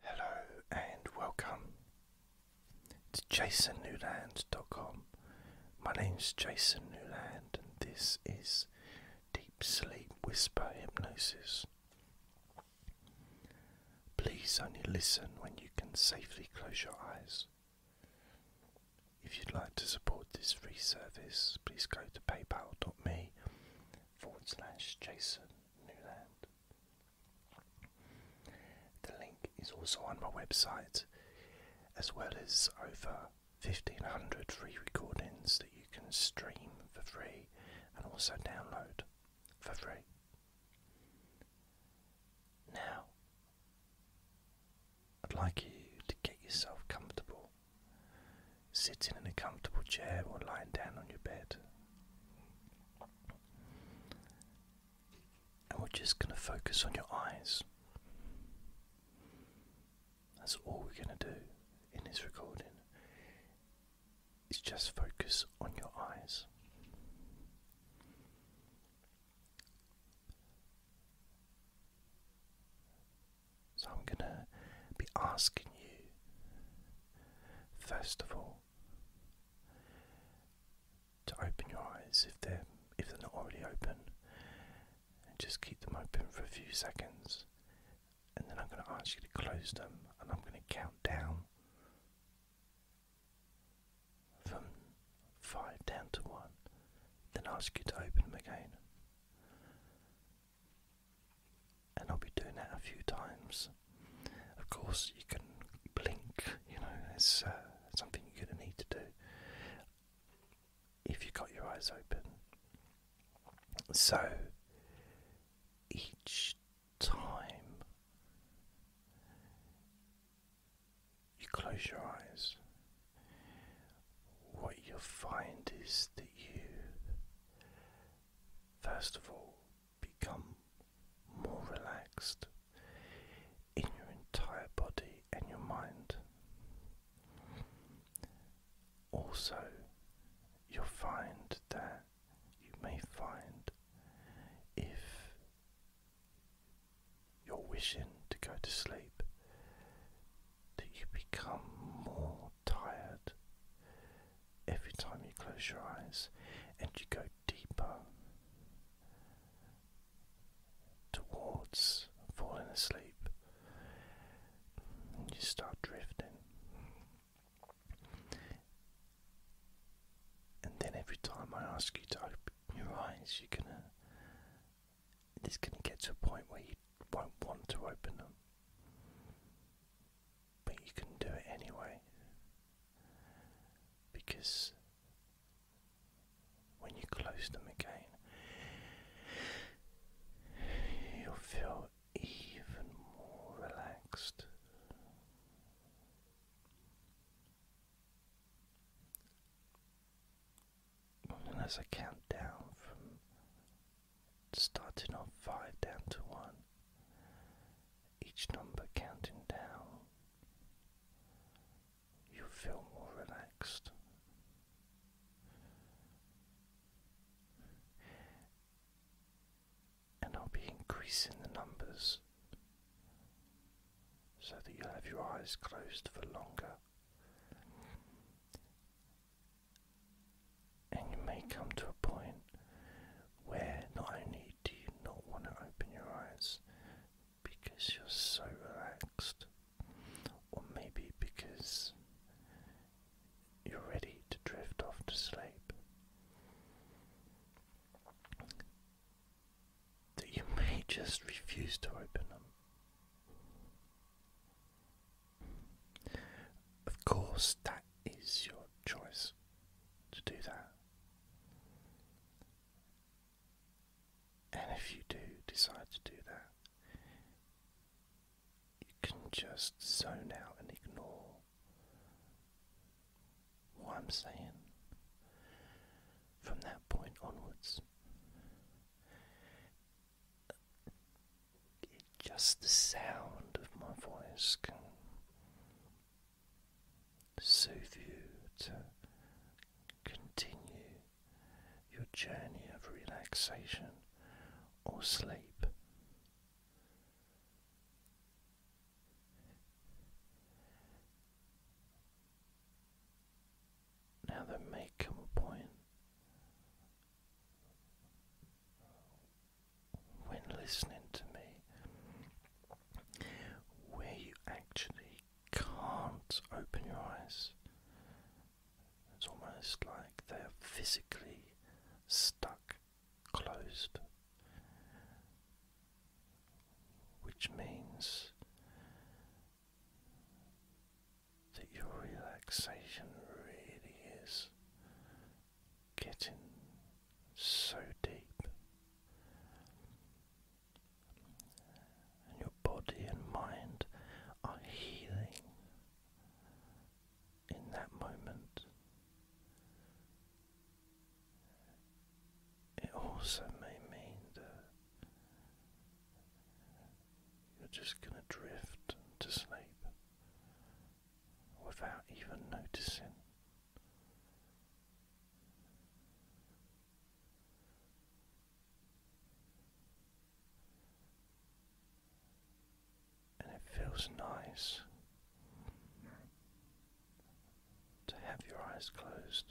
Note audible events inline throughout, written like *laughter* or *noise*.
Hello and welcome to jasonnewland.com. My name's Jason Newland and this is Deep Sleep Whisper Hypnosis. Please only listen when you can safely close your eyes. If you'd like to support this free service, please go to paypal.me forward slash Jason the link is also on my website, as well as over 1500 free recordings that you can stream for free and also download for free. Now, I'd like you to get yourself comfortable, sitting in a comfortable chair or lying down on your bed. And we're just going to focus on your eyes. That's all we're going to do in this recording. Is just focus on your eyes. So I'm going to be asking you, first of all, to open your eyes if they're if they're not already open and just keep them open for a few seconds and then I'm going to ask you to close them and I'm going to count down from five down to one then ask you to open them again and I'll be doing that a few times. Of course, you can blink, you know, it's uh, something you're going to need to do if you've got your eyes open. So, each time you close your eyes, what you'll find is that you, first of all, become more relaxed in your entire body and your mind. Also, you'll find that you may find if you're wishing to go to sleep that you become more tired every time you close your eyes and you go deeper towards falling asleep. you start drifting. And then every time I ask you to open your eyes, you're gonna. It's gonna get to a point where you won't want to open up but you can do it anyway because when you close them again, you'll feel even more relaxed. And as I count down from starting on five down to one, each number counting down, you feel more relaxed. And I'll be increasing the numbers so that you'll have your eyes closed for longer. And you may come to a point where not only do you not want to open your eyes because you're so relaxed, or maybe because you're ready to drift off to sleep, that you *laughs* may just refuse to open them. Of course, that is your choice to do that. And if you do decide to do that, you can just zone out and ignore what I'm saying from that point onwards. Just the sound of my voice can soothe you to continue your journey of relaxation or sleep. Now, there may come point when listening to me, where you actually can't open your eyes. It's almost like they're physically stuck closed, which means that your relaxation really is getting so deep, and your body and mind are healing in that moment. It also may mean that you're just going to drift to sleep without even noticing. And it feels nice to have your eyes closed.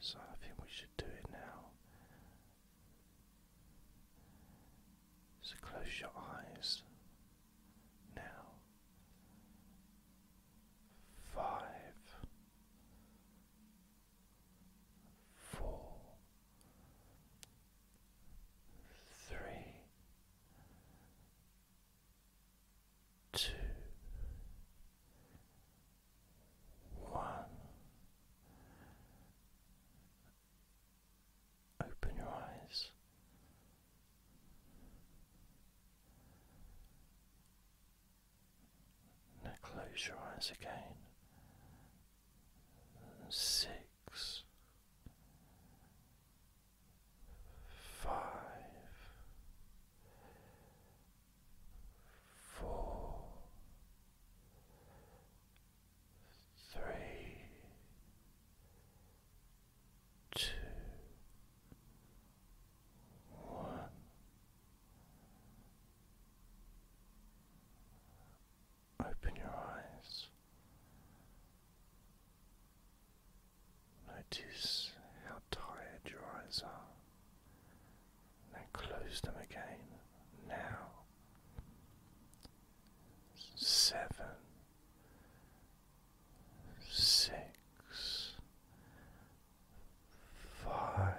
So I think we should do it now. So close your eyes now. Five, four, three, two, one, Open your eyes. Now close your eyes again. Six, five, four, three, two, one. Open your eyes. Notice how tired your eyes are. Now close them again. Now. Seven six, five,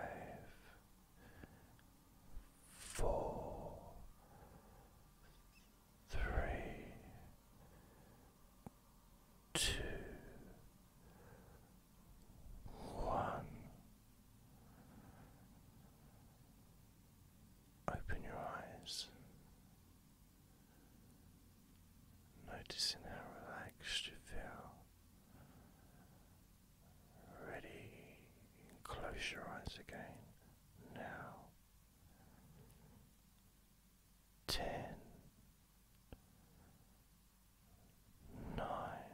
four, three, two, one. Open your eyes. Noticing how relaxed you feel. Ready, close your eyes again now. Ten, nine,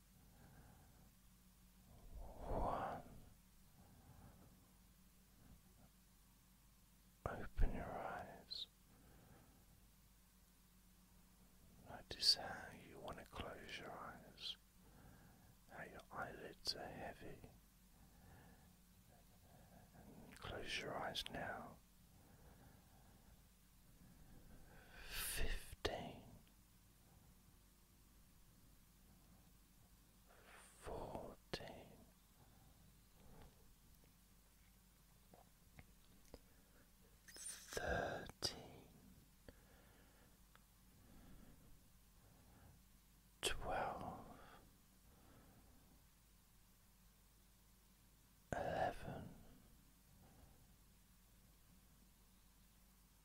One. Open your eyes. Notice how you want to close your eyes, how your eyelids are heavy. close your eyes now. Fifteen fourteen thirteen twelve eleven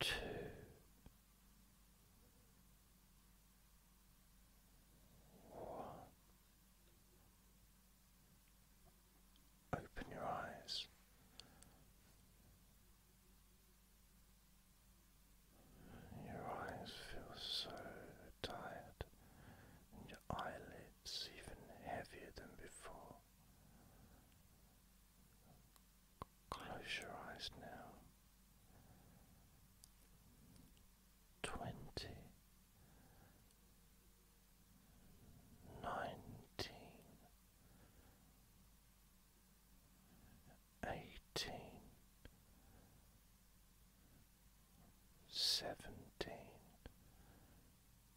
two, Open your eyes. Your eyes feel so tired, and your eyelids. It's even heavier than before. Close your eyes now. Twenty, nineteen, eighteen, seventeen.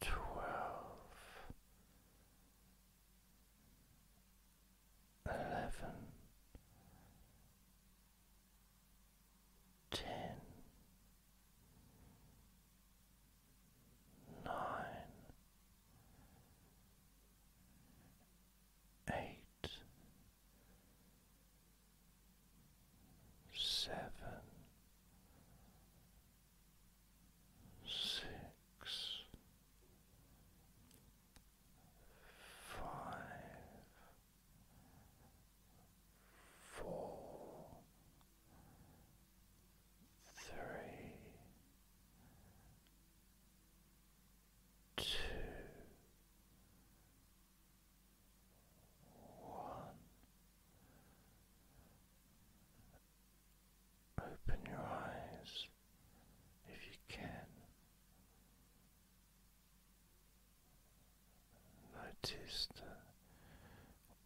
twelve, eleven, ten, nine, eight seven, six, five, four, three, two. One. Open your eyes if you can. Notice that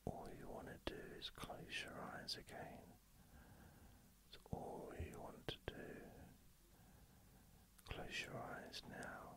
all you want to do is close your eyes again. It's all you want to do. Close your eyes now.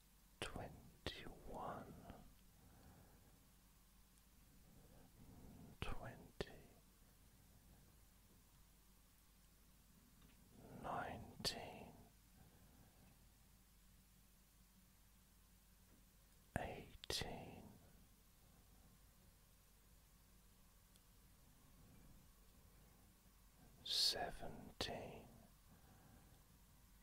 twenty one, twenty, nineteen, eighteen. Seventeen,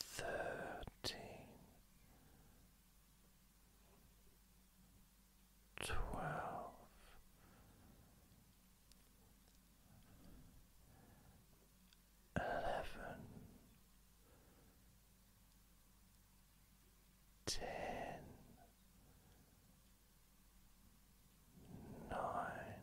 thirteen, twelve, eleven, ten. Nine,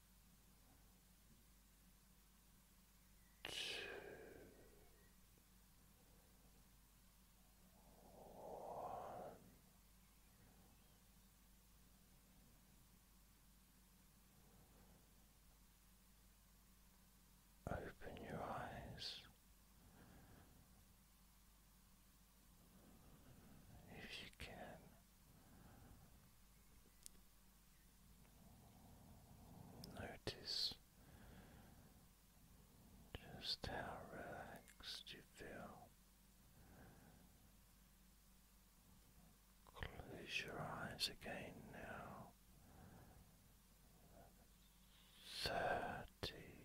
Two. One. Open your eyes. If you can, Notice just how relaxed you feel. Close your eyes again now. Thirty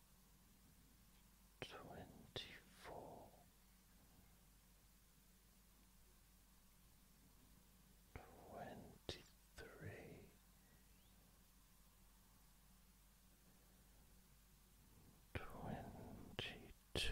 twenty four twenty three twenty two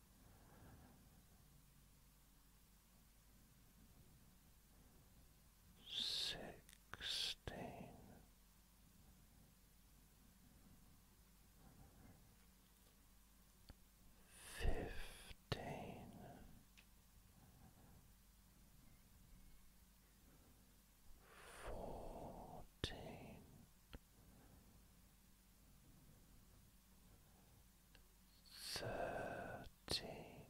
sixteen. Fifteen, fourteen, thirteen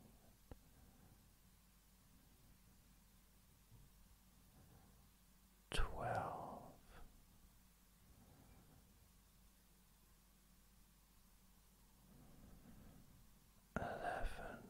twelve eleven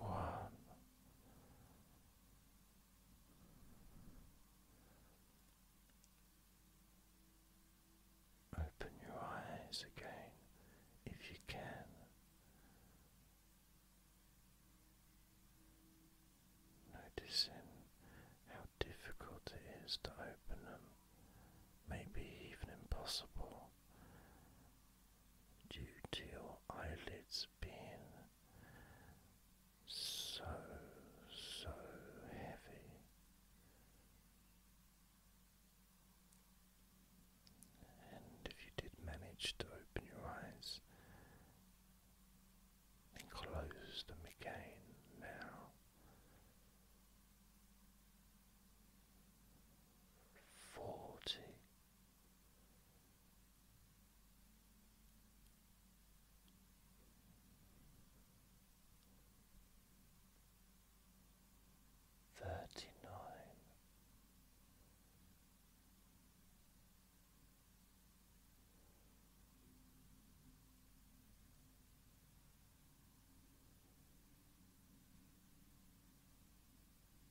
one. Open your eyes again if you can. Noticing how difficult it is to open them, maybe even impossible, due to your eyelids being so, so heavy. And if you did manage to open your eyes, then close them again now. Forty Thirty nine.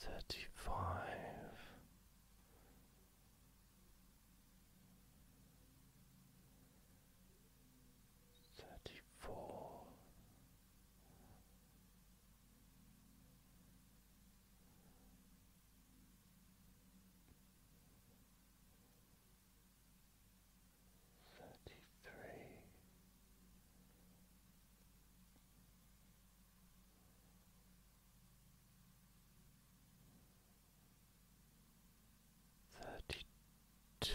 thirty-five, thirty-four, thirty three. Thirty two,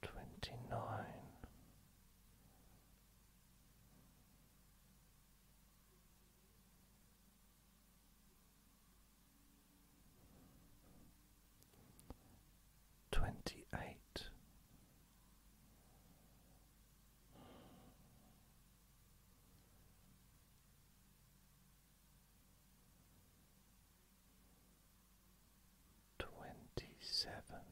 twenty nine, twenty eight. Twenty-seven,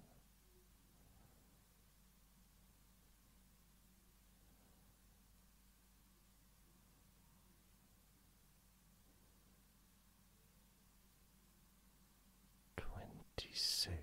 twenty-six.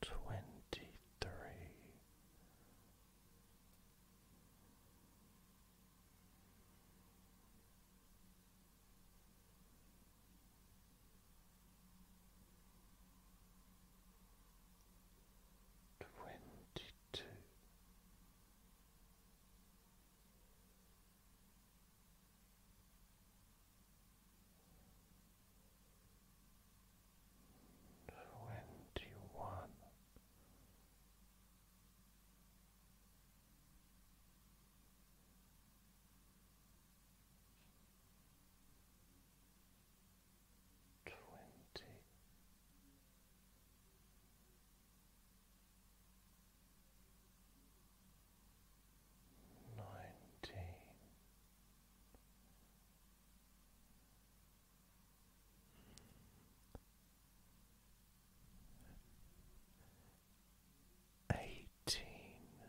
twenty three. Twenty two, Twenty one, twenty nineteen eighteen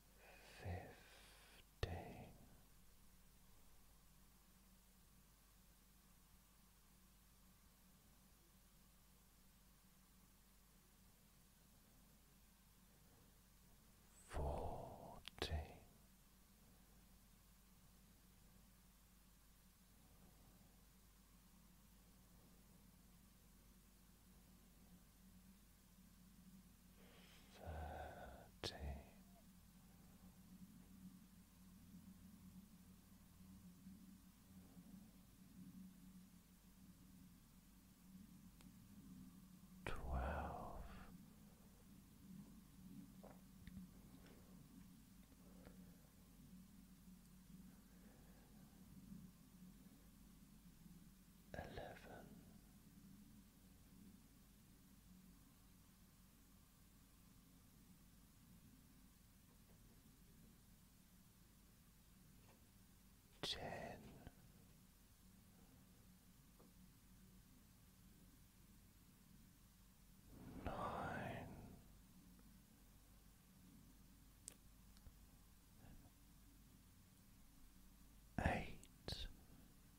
fifteen. Fourteen, thirteen thirteen. Twelve, eleven, Ten. Eight.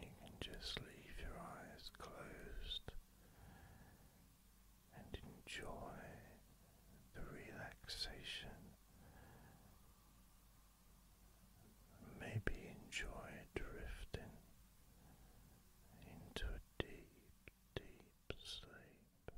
you can just leave your eyes closed and enjoy the relaxation. Maybe enjoy drifting into a deep, deep sleep.